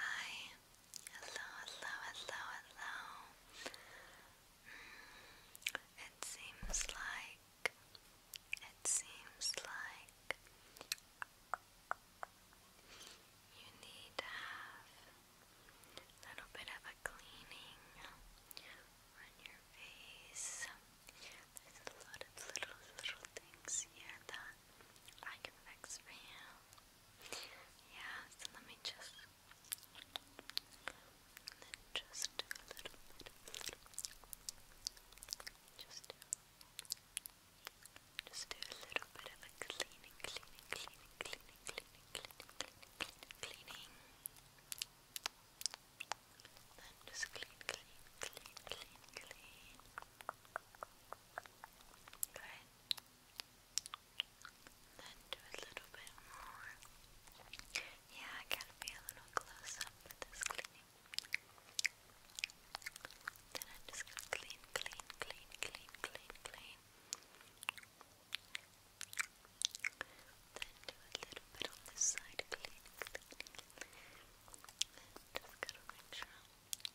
Hi, hello, hello, hello, hello. Mm, it seems like, it seems like you need to have a little bit of a cleaning on your face. There's a lot of little, little things here that I can fix for you. Yeah, so let me just then just a little bit. Just do just do a little bit of a cleaning, cleaning, cleaning, cleaning, cleaning, cleaning, cleaning, cleaning, Then just clean, clean, clean, clean, clean. Good. Then do a little bit more. Yeah, I gotta a little close up cleaning. Then I'm just going clean, clean, clean, clean, clean, Then do a little bit on this side, clean, clean. just gotta make sure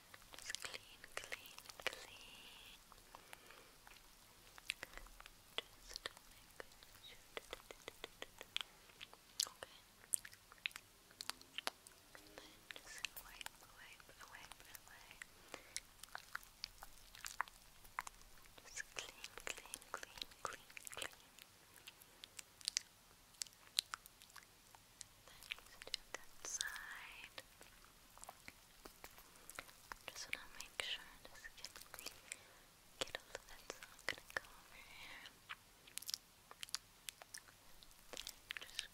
Just clean, clean, clean. Just to make sure. Okay. And then just wipe, wipe, Just clean, clean, clean, clean, clean. Then just do that side. Just wanna make sure this can get all of that, gonna go over here. just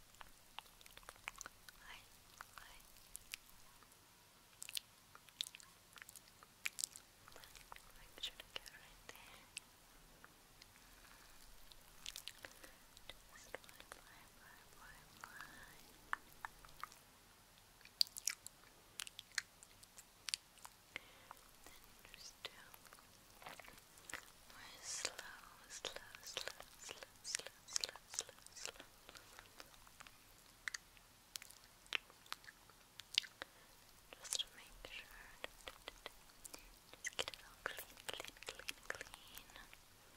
Make sure to get right there. Just one more fly, fly, Then just do more slow, slow, slow, slow, slow, slow, slow, slow. Just to make sure, just get it all clean, clean, clean, clean.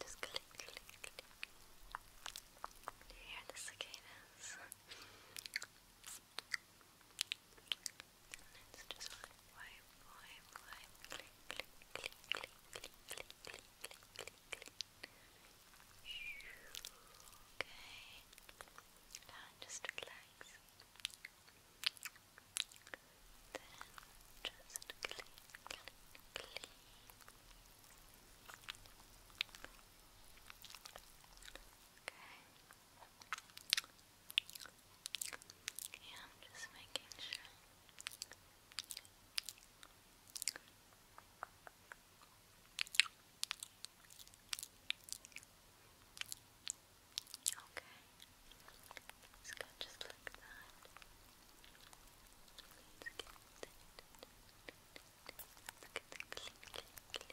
Just click, click, click. Do you hear the cicadas? Let's just wipe, wipe, wipe, clean, clean, clean, clean, clean, clean, clean, clean, clean, clean. Okay. Now just relax. Then just clean, clean, clean. Okay. Yeah, I'm just making sure. Okay. Let's go just like that. Let's get, let's get the clean, clean, clean,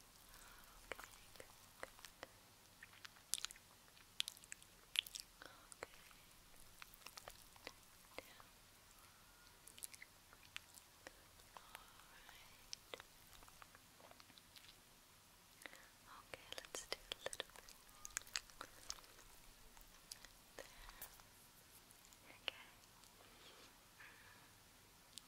Okay, good, good. Okay. Down. All right. Okay, let's do a little bit. There. Okay. Mm -hmm.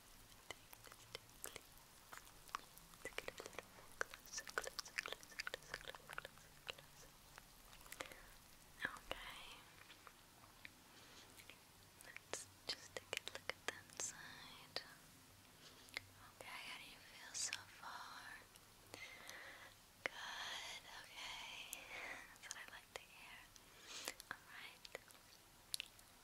to Okay. Let's just take a look at that side. Okay, how do you feel so far? Good, okay. That's what I like to hear. Alright.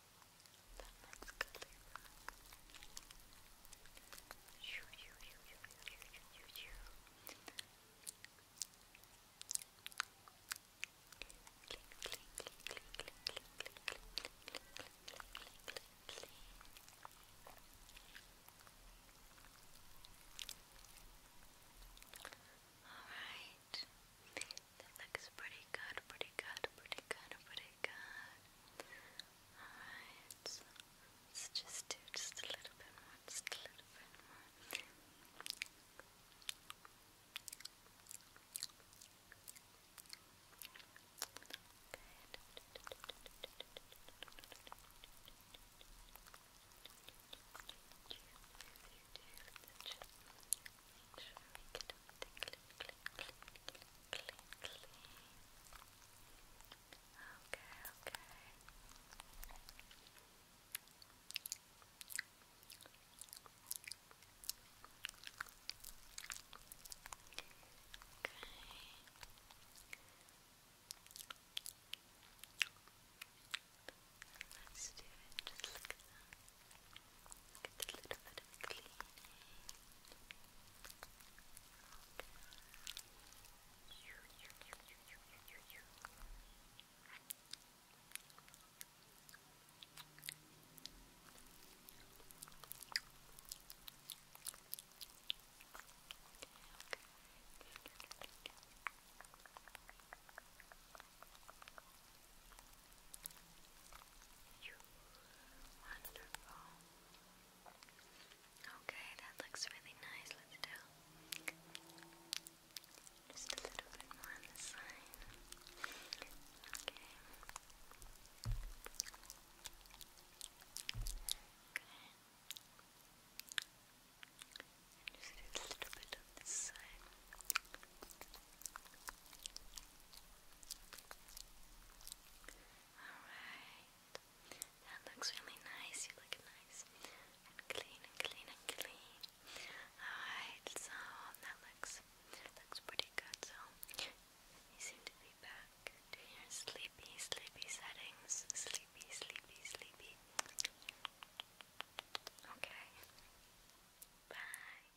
The next Alright. That looks pretty good, pretty good, pretty good, pretty good. Alright, so let's just do just a little bit more, just a little bit more. Good. Make sure we get clean, clean, clean, clean, clean. Okay, okay. Okay. Let's do it just like that. Get a little bit of cleaning. Okay. Wonderful. Okay, that looks really nice. Let's do just a little bit on this side. Okay. Okay. Just a little bit on this side. Alright. That looks really nice. You look nice and clean and clean and clean. Alright, so that looks looks pretty good. So you seem to be back to your sleepy, sleepy settings. Sleepy, sleepy, sleepy. Okay. Bye.